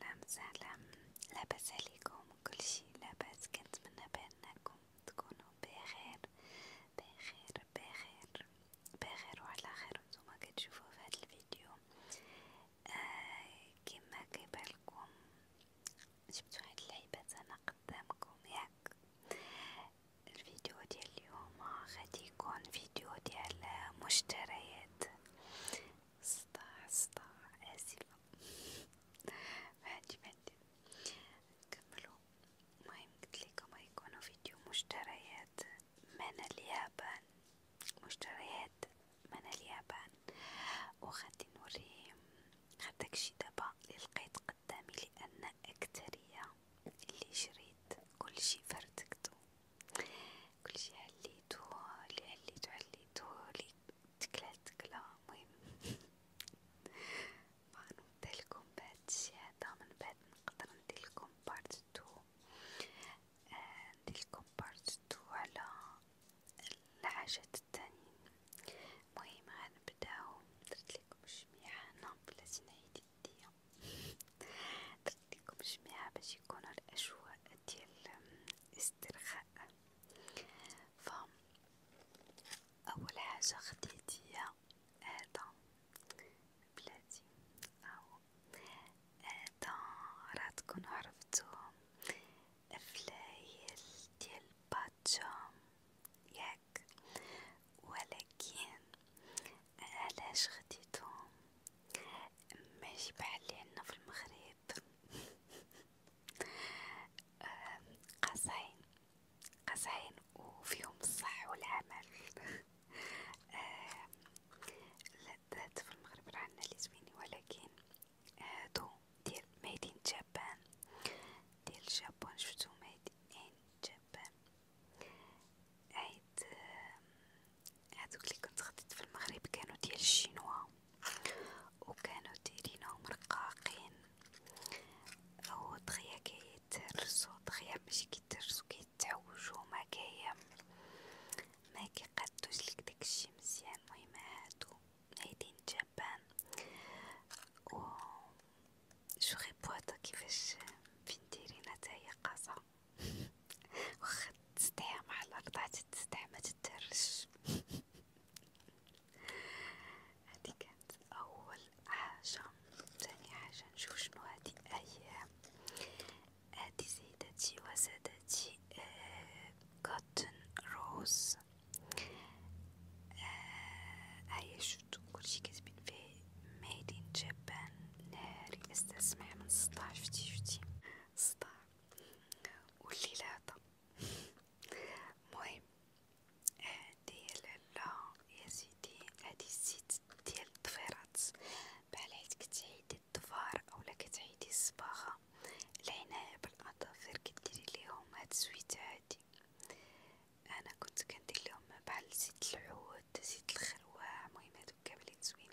سلام سلام لاباس عليكم كلشي لاباس كنتمنى بانكم تكونوا بخير بخير بخير بخير وعلى خير نتوما كتشوفوا في هذا الفيديو آه كما كيبالكم جبت واحد اللعيبات انا قدامكم ياك الفيديو ديال اليوم غادي يكون فيديو ديال مشتريات سطع سطع آسفة هادي مادي نكملو المهم قلتلكم غيكونو فيديو مشتريات من اليابان مشتريات من اليابان وغادي نوري غير داكشي دابا لي لقيت قدامي لأن أكترية اللي شريت كلشي فردكتو كلشي على عليتو لي عليتو عليتو لي تكلا تكلا المهم غنبدالكم بهادشي هدا من بعد نقدر نديرلكم بارت تو آه نديرلكم بارت تو على الحاجات التانيين المهم غنبداو درتلكم الجميع هنا بلاتي نعيد يديا قلت لكم جميعا باش يكون الأجواء ديال استرخاء ف أول حاجة خديت هي هذا بلادي أو هذا راه تكون عرفتو فلايل ديال باتشا ياك ولكن علاش خديتهم ماشي بحالي عنا في المغرب قصعين قصعين وفيهم الصح والعمل لذات في المغرب رانا لي زوينين ولكن هادو آه، ديال ميدين جابان ديال جابون شفتو ميدين جابان عيد هذوك اللي كنت خديت في المغرب كانوا ديال الشينوا وكانوا دايرينهم رقاقين هو دغيا كيتهرسو دغيا ماشي كيتهرسو كيتعوجو ما كايا ما كيقادوش ليك داكشي مزيان المهم هادو عيدين جبان و شو غيبوطة كيفاش فين دايرين هي قاصة وخد تستحى مع الأرض حتى تستحى متتهرش هادي كانت أول حاجة، تاني حاجة نشوف شنو هادي أيام هادي آه، آه، سيدتي وسادتي كوتن روز هاي شفتو كلشي كاتبين فيه made in Japan ناري استسمع من سطاع شفتي شفتي سطاع والليلاطة مهم هادي لا يا سيدي هادي الزيت ديال الضفيرات بحال حيت كتعيدي الضفار اولا كتعيدي الصباغة العناية بالاظافر كديري ليهم هاد الزويته هادي انا كنت كندير لهم بحال زيت العود زيت الخروع المهم هادوك كاملين زوين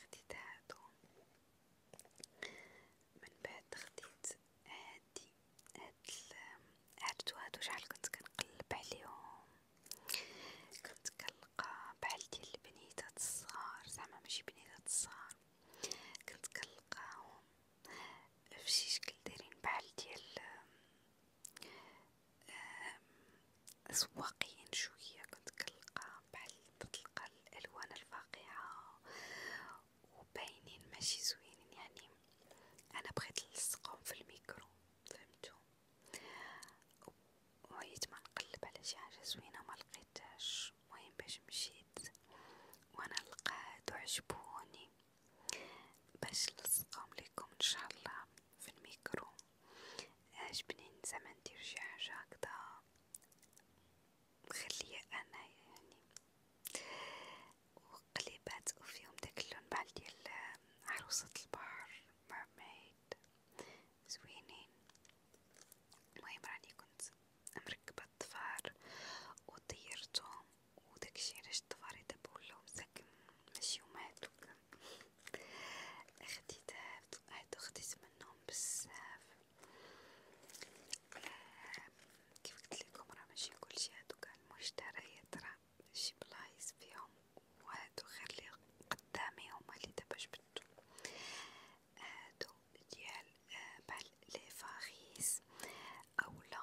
خديت هادو من بعد خديت هادي هاد هادو هادو شحال كنت كنقلب عليهم كنت كنلقى بحال ديال البنيتات الصغار زعما ماشي بنيتات الصغار كنت كنلقاهم فشي شكل دايرين بحال ديال أسواقيين شوية كنت كنلقى بحال تتلقى الألوان الفاقعة وباينين ماشي زوينين يعني أنا بغيت نلصقهم في الميكرو فهمتو وعيت ما نقلب على شي حاجة زوينة ما لقيتهاش المهم باش مشيت وانا لقاد وعجبوني باش نلصقهم ليكم ان شاء الله في الميكرو عجبني زمان ندير شي حاجة هكدا مخلية انا يعني وقليبات وفيهم داك اللون بحال ديال عروسة البحر مرميد زوينين المهم راني كنت مركبة الطفار وطيرتهم وداكشي علاش الطفار دابا ولاو حياتك مش يوماتك اختي تعبت هاد اختي منهم بزاف كيف قلتلكم راه ماشي كلشي هادوك المشتريات راه شي بلايص فيهم وهادو غير لي قدامي هما لي دابا جبدتو هادو ديال آه، بحال لي فاغيس اولا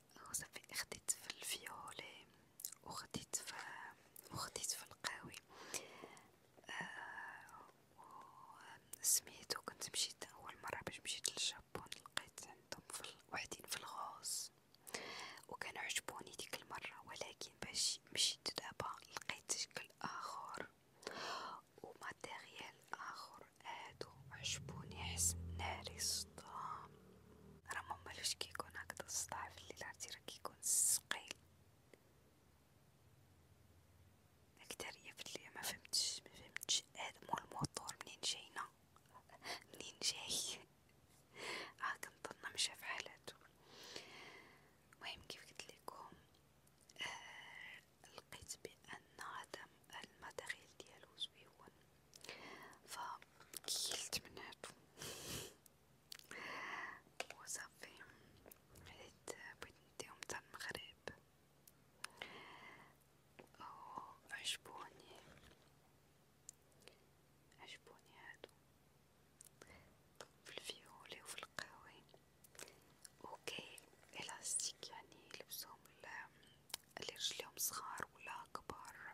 وصافي خديت في الفيولي وخديت في وخديت في القهوي آه سميتو كنت مشيت اول مره باش مشيت للجابون لقيت عندهم في وحدين في الغوص وكانوا عجبوني ديك المره ولكن باش مشيت دابا لقيت شكل اخر وماتيريال اخر هادو عجبوني حسن ناري الصدام راه ماما لوش كيكون هكذا الصداع في الليل عرفتي راه كيكون ثقيل الأكترية في الليل ما فهمتش ما فهمتش هذا مول الموتور منين جاينا منين جاي اه كنظن مشى في حالاتو المهم كيف قلت لكم آه لقيت بان هذا الماتيريال ديالو زويون فكلت مناتو وصافي بديت بغيت نديهم تاع المغرب عجبوني عجبوني هادو في الفيولي وفي القهوي اوكي الاستيك يعني لبسهم اللي رجليهم صغار ولا كبار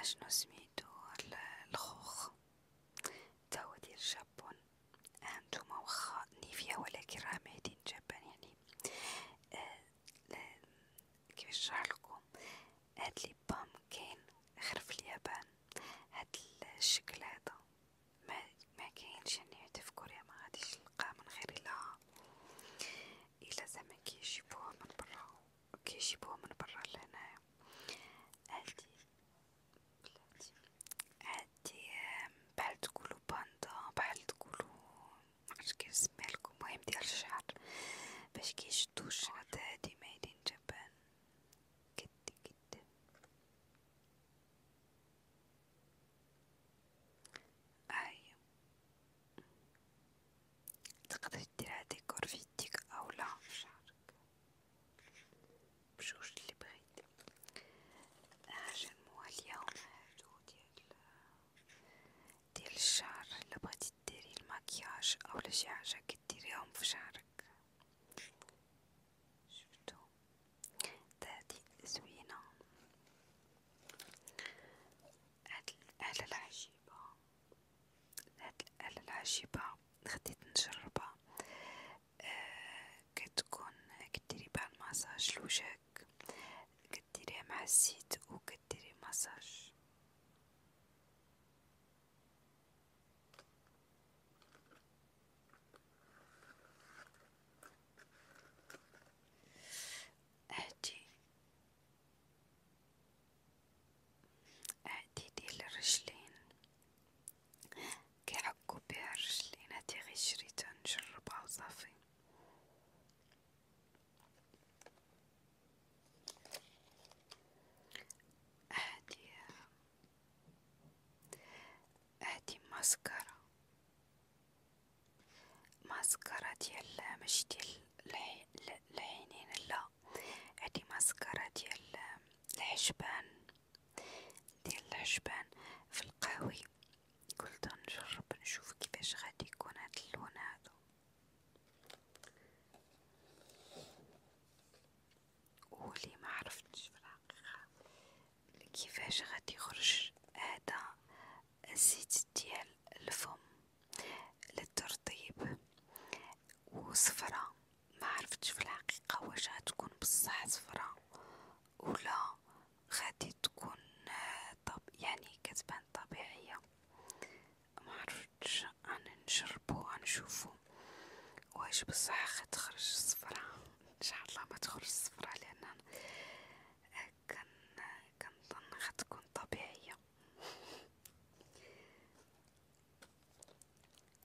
اشنو سميتو الخوخ توا ديال جابون هانتوما آه، وخا نيفيا ولكن راه ماهدين جابان يعني آه، كيفاش نشرحلكم هاد لي بام كاين غير في اليابان هاد الشكل هذا ما ما كاينش يعني حتى في كوريا ما غاديش تلقاه من غير الا الا زعما كيجيبوه من برا اوكي جيبوها من برا لهنايا هادي بلاتي هادي بحال تقولو باندا بحال تقولو معرفتش كيف سميلكم المهم ديال الشعر باش كيشدو الشعر هادي مايدين جبان كدي كدي أي أيوة. تقدر ديرها ديكور في يديك أو لا في شعرك بجوج اللي بغيت هاجمو اليوم هادو ديال ديال الشعر اللي بغيتي ديري المكياج أو شي حاجة كديريهم في شعرك شفتو تادي زوينة هاد الآلة العجيبة هاد الآلة العجيبة خديت نجربها أه كتكون كديري بها المساج لوجهك كديريه مع الزيت أو كديري مساج هادي اعديدي للرجلين كيعكو بها الرجلين هادي غي شريتها نجربها وصافي هادي هادي ماسكارا ماسكارا ديال مش ديال العينين لا هادي ماسكارا ديال الحجبان ديال الحجبان في القهوي قلت نجرب نشوف كيفاش غادي يكون هاد اللون هادو ولي ما عرفتش في الحقيقه كيفاش غادي يخرج هذا الزيت ديال الفم للترطيب وصفرة ما عرفتش في الحقيقة واش غتكون بصح صفرة ولا غادي تكون طب يعني كتبان طبيعية ما عرفتش غنجربو غنشوفو واش بصح غتخرج صفرة ان شاء الله ما تخرج صفرة لان كان كنظن غتكون طبيعية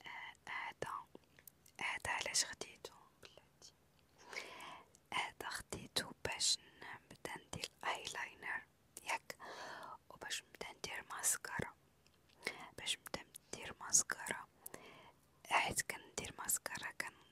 آه، هذا هذا علاش خديتو بلاتي هذا خديتو باش نبدا ندير ايلاينر ياك وباش نبدا ندير ماسكارا باش نبدا ندير ماسكارا حيت كندير ماسكارا كن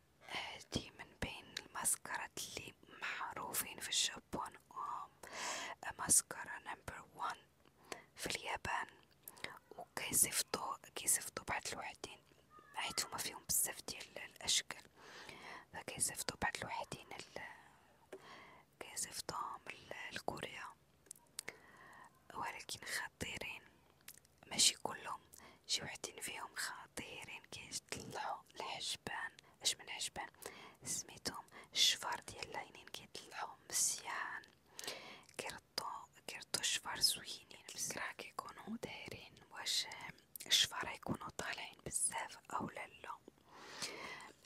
دي من بين المسكرات اللي معروفين في الجابون مسكرة نمبر وان في اليابان وكيصيفطو كيصيفطو بعض الوحدين حيت هما فيهم بزاف ديال الاشكال فكيصيفطو بعض الوحدين كيصيفطوهم لكوريا ولكن خطيرين ماشي كلهم شي وحدين فيهم خطيرين كيطلعو الحجبان اش من حجبان سميتهم الشفار ديال العينين كيطلعو مزيان كيرطو كيرطو الشفار زوينين بصراحة كيكونو دايرين واش الشفار يكونوا طالعين بزاف او لا لا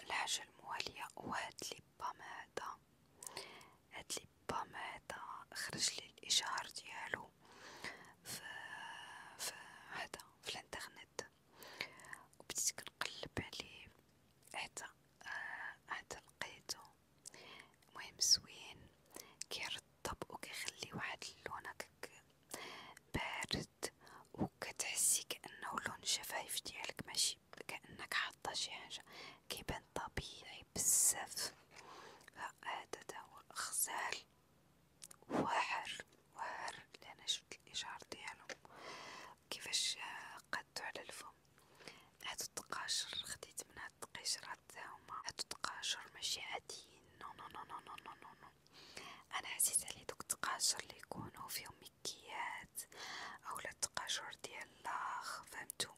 الحاجة الموالية وهاد لي بام هذا هاد لي بام هدا خرجلي الإشعار ديالو في في هدا في الانترنت و بديت كنقلب عليه حتى حتى آه، لقيتو المهم زوين كيرطب و كيخلي واحد اللون هكاك بارد و كتحسي كأنه لون الشفايف ديالك ماشي كأنك حاطة شي حاجة كيبان طبيعي بزاف هذا هو الخزال واعر واعر لأنا شفت الإشعار ديالو كيفاش قادو على الفم هادو التقاشر خديت من هاد التقيشرات هما هادو التقاشر ماشي عاديين نو نو نو انا حسيت على دوك التقاشر اللي يكونوا فيهم مكيات اولا التقاشر ديال لاخ فهمتو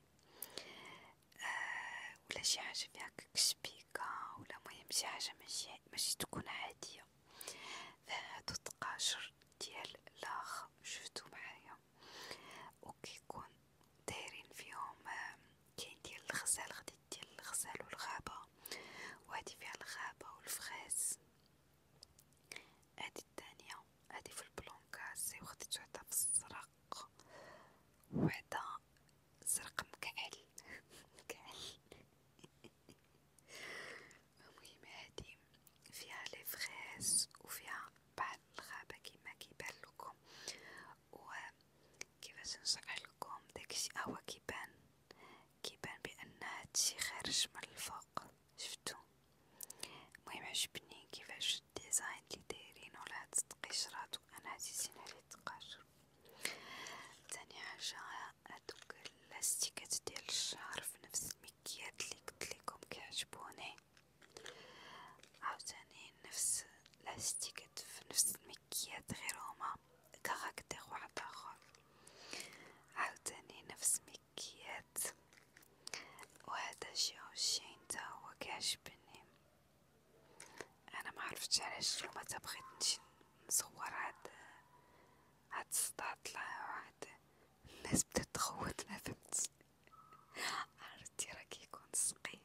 آه ولا شي حاجه فيها كشبيكه ولا مهم شي حاجه ماشي ماشي تكون عاديه فهادو الطقاجر ديال لاخ شفتو معايا وكيكون دايرين فيهم آه كاين ديال الغزال غادي ديال الغزال والغابه وهادي فيها الغابه والفخاز هادي الثانيه هادي في البلونكاس وخديتو حتى في الصرا الحق وهذا زرق مكعل مكعل المهم هادي فيها لي فغيس وفيها بعض الغابة كيما كيبان لكم و كيفاش نشرح لكم داكشي هو كيبان كيبان بان هادشي خارج من الفوق شفتو المهم عجبني كيفاش الديزاين لي دايرينو لهاد القشرات انا عزيزين عليه التقاشر تاني حاجه هادوك اللاستيكات ديال الشعر في نفس المكيات لي قلتلكم كيعجبوني عاوتاني نفس لاستيكات في نفس المكيات غير هما كاركتير واحد اخر عاوتاني نفس مكيات وهذا الشي والشي تا هو كيعجبني انا ما عرفتش علاش اليوم تبغيت نمشي نصور هاد هاد الصداع طلع وهاد الناس بدات تخوت ما فهمتش عرفتي راه كيكون ثقيل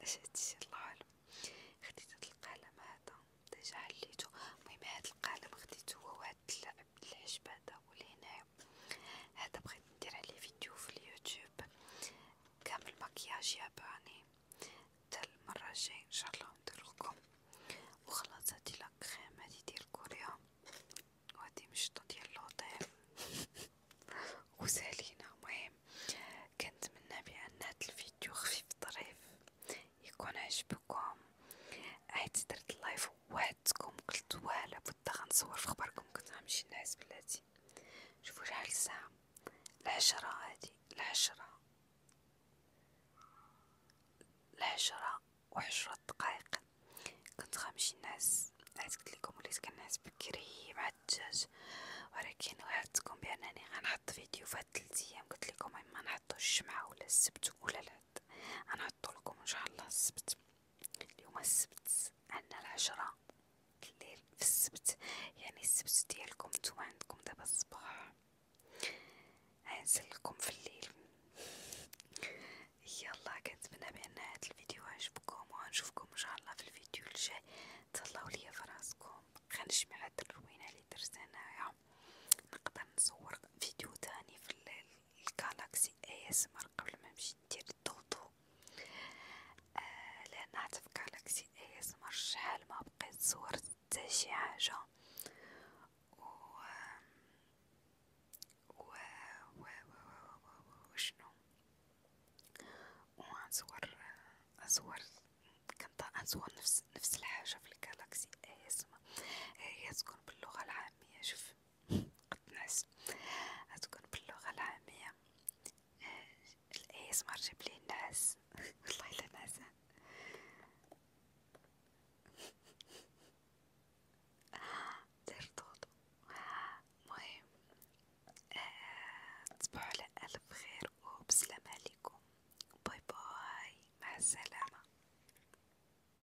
اش هادشي الله اعلم خديت هاد القلم هذا ديجا حليته المهم هاد القلم خديتو هو هاد حبيت العجب هذا والهنا هذا بغيت ندير عليه فيديو في اليوتيوب كامل مكياج ياباني حتى المرة الجاية ان شاء الله نديرلكم وخلاص هادي لاكريم هادي ديال كوريا وهادي مشطة ديال لوطيل وسالينا مهم كنتمنى بان هاد الفيديو خفيف ظريف يكون عجبكم عيت درت اللايف وعدتكم قلت والا بدا غنصور في خبركم كنت غنمشي نعس بلاتي شوفوا شحال الساعة العشرة هادي العشرة العشرة وعشرة دقائق كنت غنمشي نعس نعس قلت لكم وليت كنعس بكري مع الدجاج ولكن وعدتكم بانني غنحط فيديو في هاد تلت ايام قلت لكم اما نحطو الجمعة ولا السبت ولا العد غنحطو لكم ان شاء الله السبت اليوم السبت عندنا العشرة الليل في السبت يعني السبت ديالكم نتوما عندكم دابا الصباح غنزلكم في الليل يلا كنتمنى بان هاد الفيديو عجبكم وغنشوفكم ان شاء الله في الفيديو الجاي تهلاو ليا في راسكم غنجمع هاد الروينه اللي درت انايا نقدر نصور فيديو تاني في الليل الكالاكسي اس مر قبل ما نمشي ندير الضوضو آه لان هاتف كالاكسي اس مر شحال ما بقيت صورت حتى شي حاجه و و و و و وشنو وغنصور اصور كنت اصور نفس نفس الحاجه في الكالاكسي اس هي تكون باللغه العاميه شوف 12 هتكون باللغة العامية آه، الأيس مار جبلي الناس والله لا ناس دير طوطو مهم آه، تصبحوا على ألف خير وبسلام عليكم باي باي مع السلامة